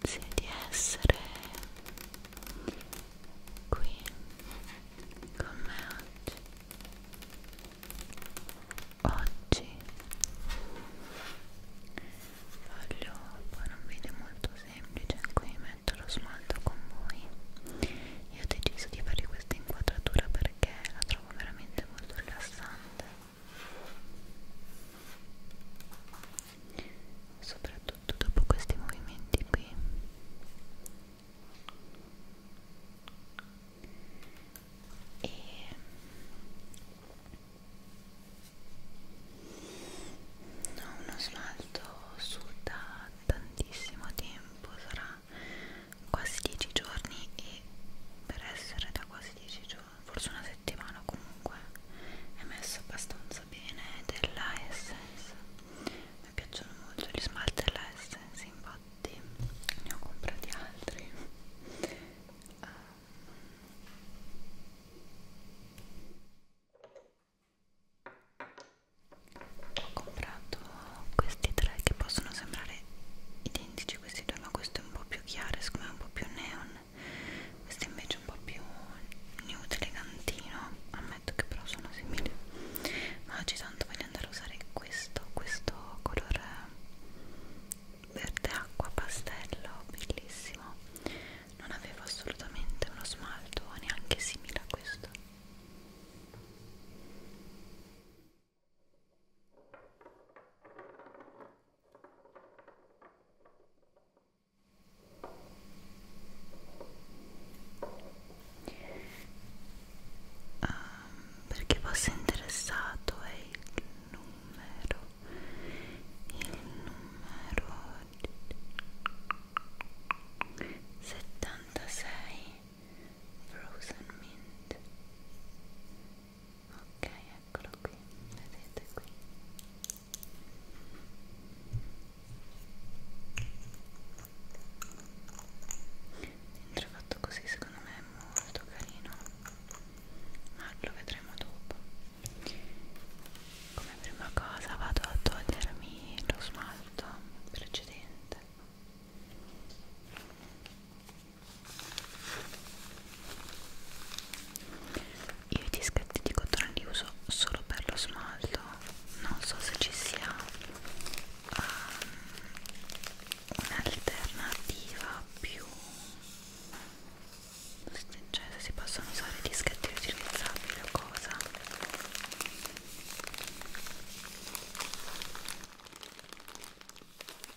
grazie di essere qui con me oggi oggi voglio fare un video molto semplice in cui metto lo smalto con voi io ho deciso di fare questa inquadratura perché la trovo veramente molto rilassante soprattutto dopo questi movimenti qui e ho uno smalto su da tantissimo tempo sarà quasi 10 giorni e per essere da quasi 10 giorni forse una settimana comunque è messa abbastanza bene della Essence mi piacciono molto gli smalti della Essence infatti ne ho comprati altri um. Ho comprato questi tre che possono sembrare identici anche cioè, questi due ma questo è un po' più chiaro secondo me è un po' più neon questo è invece un po' più nude elegantino ammetto che però sono simili ma oggi tanto voglio andare a usare questo questo colore verde acqua pastello bellissimo non avevo assolutamente uno smalto neanche simile a questo Um, perché fosse interessato è il numero il numero 76 Frozen Mint ok eccolo qui vedete qui dentro fatto così secondo me è molto carino ma lo vedremo dopo come prima cosa vado a togliermi lo smalto precedente io i dischetti di cotone li uso solo per lo smalto, non so se ci sia um, un'alternativa più cioè se si possono usare dischetti riutilizzabili o cosa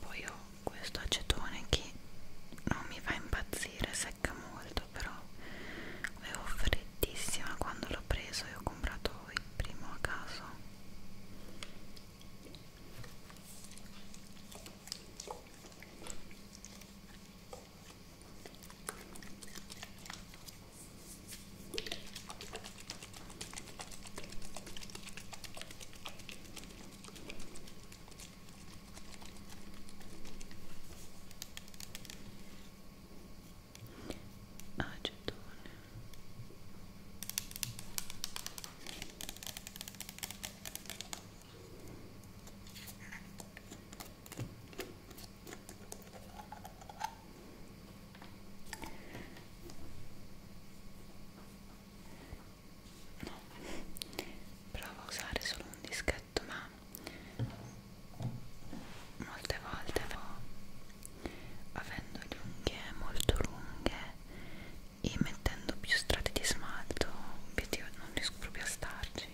Poi ho questo acetone che non mi fa impazzire, secca molto, però avevo freddissima quando l'ho preso e ho comprato il primo a caso acetone no, provo a usare solo un dischetto ma molte volte no, avendo le unghie molto lunghe e mettendo più strati di smalto obiettivo non riesco proprio a starci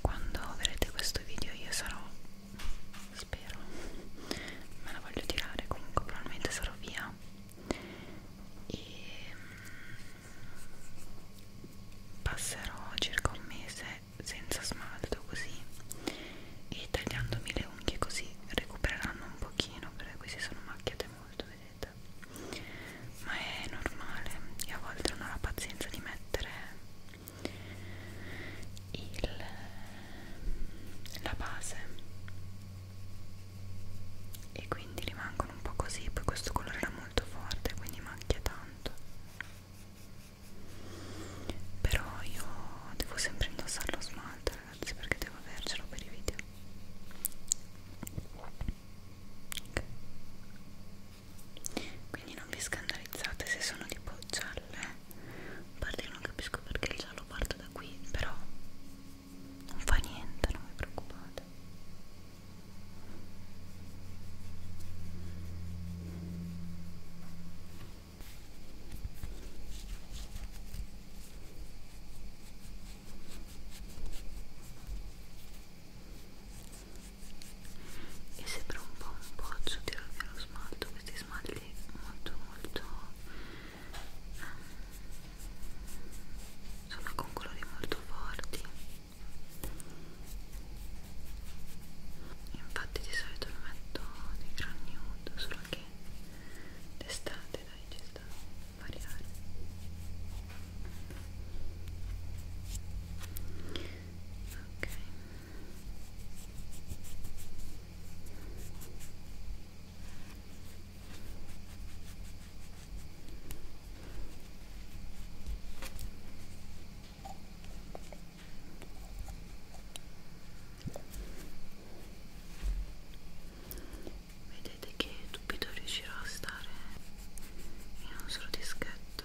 quando vedrete questo video io sarò spero me la voglio tirare comunque probabilmente sarò via e mm, passerò circa un mese senza smalto così e tagliandomi le unghie così recupereranno un pochino perché queste sono macchiate molto vedete ma è normale e a volte non ho la pazienza di mettere il, la base e quindi rimangono un po' così poi questo colore era molto forte quindi macchia tanto però io devo sempre indossare lo smalto ragazzi perché devo avercelo per i video okay quindi non vi scandalizzate se sono tipo gialle parte io non capisco perché il giallo parte da qui però non fa niente non vi preoccupate ok e sembra un po' un pozzo tirarvi allo smalto questi smalti molto molto ehm, sono con colori molto forti infatti di solito lo metto di gran nude solo che d'estate dai ci sta a variare ok vedete che dubito riuscirò a stare in un solo dischetto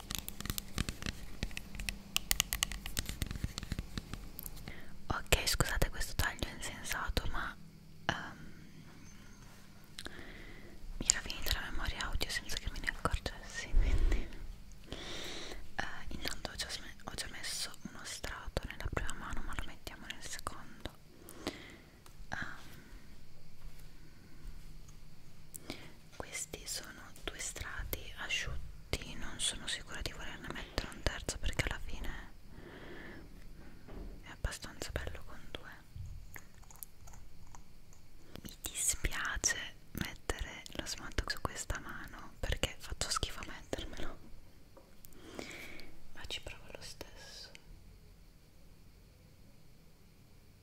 ok scusate questo taglio insensato ma um, mi era finita la memoria audio senza che me ne accorgessi quindi uh, intanto ho già, ho già messo uno strato nella prima mano ma lo mettiamo nel secondo um, questi sono due strati asciutti non sono sicura di volerne mettere un terzo perché alla fine è abbastanza bello con due mi dispiace mettere lo smalto su questa mano perché faccio schifo a mettermelo ma ci provo lo stesso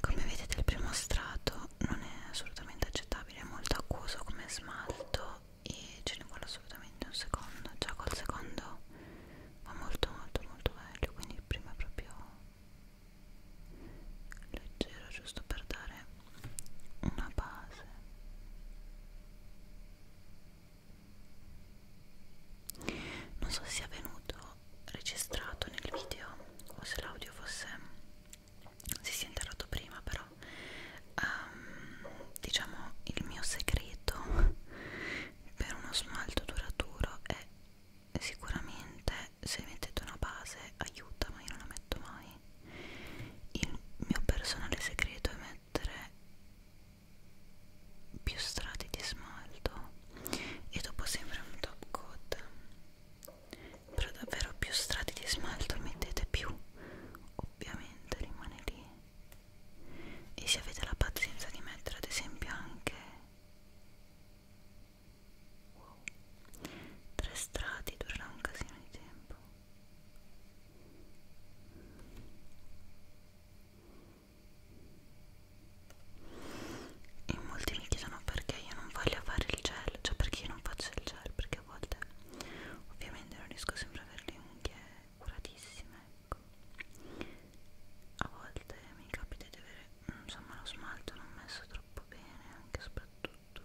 come vedete il primo strato non è assolutamente accettabile è molto acquoso come smalto e ce ne vuole assolutamente un secondo già col secondo va molto molto molto meglio quindi il primo è proprio leggero giusto per dare una base non so se sia venuto registrato nel video o se l'audio fosse si sia interrotto prima però um, diciamo il mio segreto per uno smalto duraturo è sicuramente se mettete una base aiuta ma io non la metto mai il mio personale segreto è mettere più strati di smalto e dopo sempre un top coat però davvero più strati di smalto mettete più ovviamente rimane lì e se avete la pazienza di mettere ad esempio anche wow, tre strati durerà un casino di tempo e molti mi chiedono perché io non voglio fare il gel cioè perché io non faccio il gel perché a volte ovviamente non riesco sempre a avere le unghie curatissime ecco a volte mi capita di avere insomma lo smalto non messo troppo bene anche soprattutto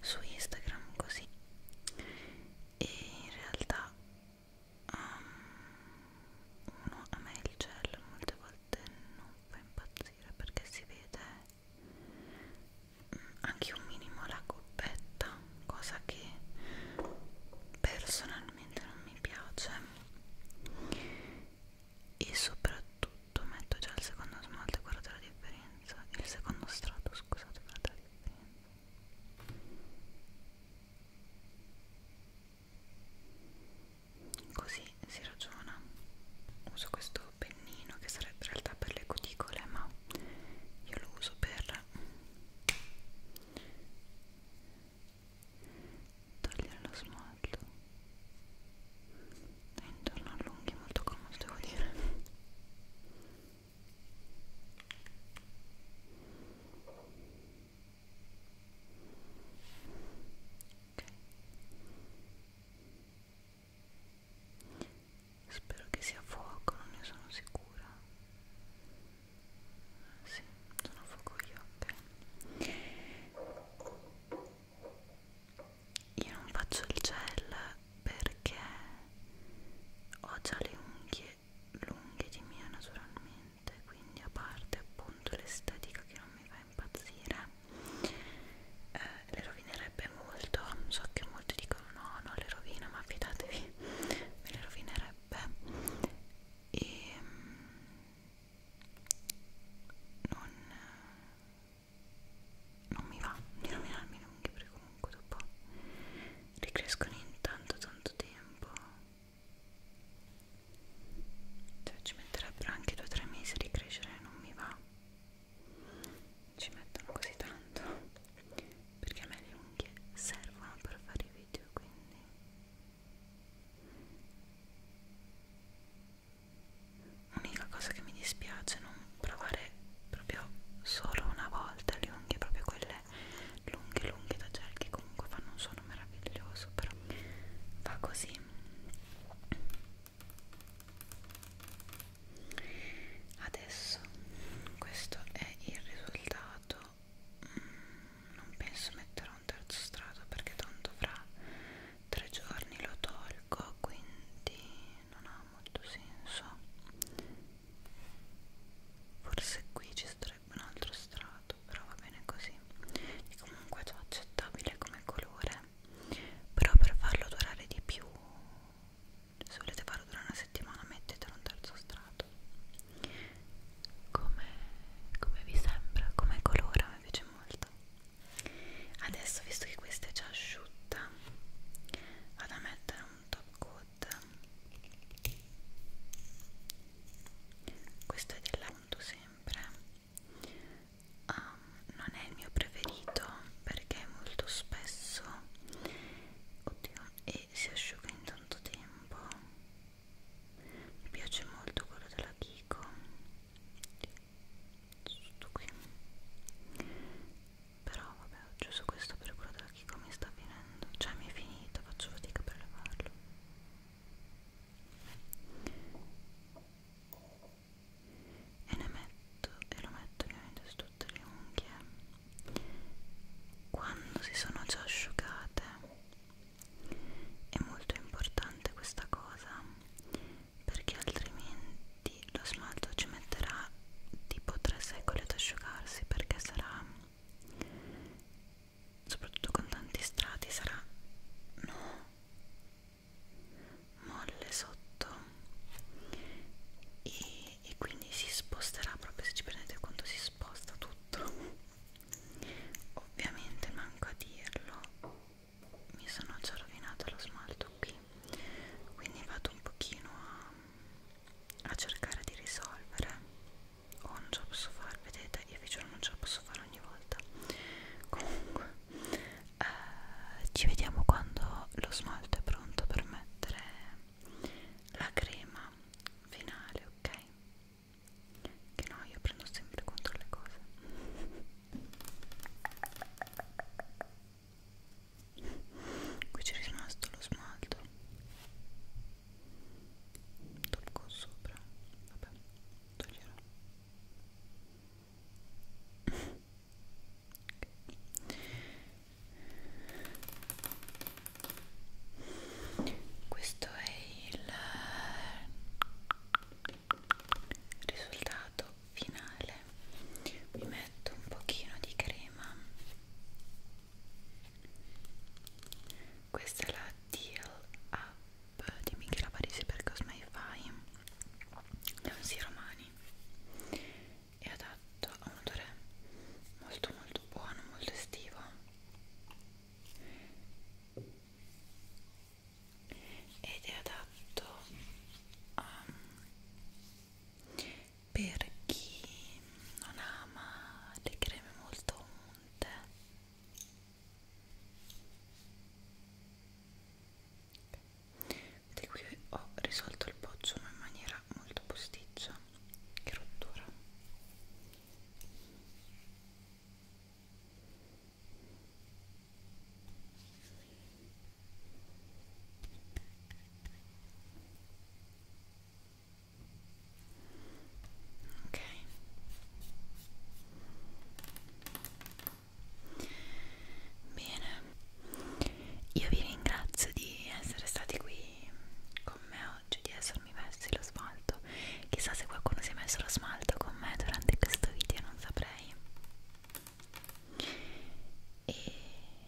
su Instagram così e in realtà um, uno a me il gel molte volte volte non fa impazzire perché si vede mm, anche un minimo la coppetta cosa che personalmente non mi piace e soprattutto metto già il secondo smalto guarda la differenza il secondo strato scusate guarda la differenza Così si ragiona. Uso questo pennino che sarebbe in realtà per le cuticole, ma io lo uso per togliere lo smalto. È intorno all'unghia molto comodo, devo dire. Spero che sia fuoco, non ne sono sicura. Ah, sì, sono fuoco io, ok. Io non faccio il gel perché ho già le unghie lunghe di mia naturalmente niente quindi a parte appunto l'estetica che non mi fa impazzire eh, le rovinerebbe molto so che molti dicono no no le rovina ma fidatevi me le rovinerebbe e mm, non, non mi va di rovinarmi le unghie perché comunque dopo ricrescono in tanto tanto tempo cioè ci metterebbero anche 2-3 mesi di crescere non mi va ci mettono così tanto perché a me le unghie servono per fare i video quindi l'unica cosa che mi dispiace è non provare proprio solo una volta le unghie proprio quelle quelle lunghe lunghe da gel che comunque fanno un suono meraviglioso però va così adesso questo è il risultato mm, non penso metterò un terzo strato perché tanto fra tre giorni lo tolgo quindi non ha molto senso forse qui ci sta sarebbe un altro strato però va bene così e comunque è accettabile come colore però per farlo durare di più se volete farlo durare una settimana mettetelo un terzo strato come, come vi sembra come colore mi piace molto adesso visto che questa è già asciutta vado a mettere un top coat Pot questo è dell'Auto sempre um, non è il mio preferito perché molto spesso oddio e si asciuga in tanto tempo mi piace molto quello della Kiko tutto qui però vabbè ho chiuso questo per quello da chi come sta finendo cioè mi è finito faccio fatica per levarlo e ne metto e lo metto ovviamente su tutte le unghie quando si sono già asciugate è molto importante questa cosa perché altrimenti lo smalto ci metterà tipo 3 secoli ad asciugarsi perché sarà soprattutto con tanti strati sarà no molle sotto e, e quindi si sposterà proprio se ci prendete conto si sposta tutto ovviamente manco a dirlo mi sono già rovinato lo smalto qui quindi vado un pochino a, a cercare di risolvere o non ce la posso fare vedete io vi giuro non ce la posso fare ogni volta comunque eh, ci vediamo quando lo smalto è pronto per mettere la crema finale ok che no io prendo sempre contro le cose qui c'è rimasto lo smalto top con sopra vabbè toglierò okay. questo è il risultato finale mi metto un pochino di crema questa è la Deal Up di Michela Parisi per Cosmai Fai Nancy Romani è adatto a un odore molto molto buono, molto estivo ed è adatto a per chi non ama le creme molto unte di qui ho risolto il poggio ma in maniera molto posticcia che rottura ok bene io vi ringrazio di essere stati qui con me oggi di essermi messi lo smalto chissà se qualcuno si è messo lo smalto con me durante questo video non saprei e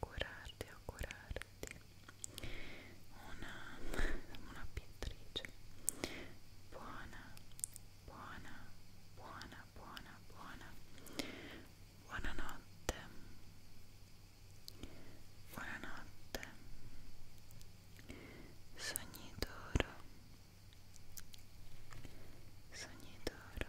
augurarti, augurarti una, una pittrice buona, buona, buona, buona, buona, buonanotte, buonanotte, sogni d'oro, sogni d'oro.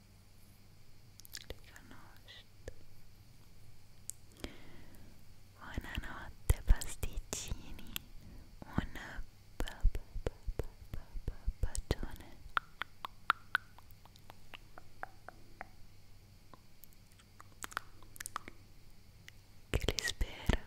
riconosciuto buonanotte pasticcini un bacione che li spera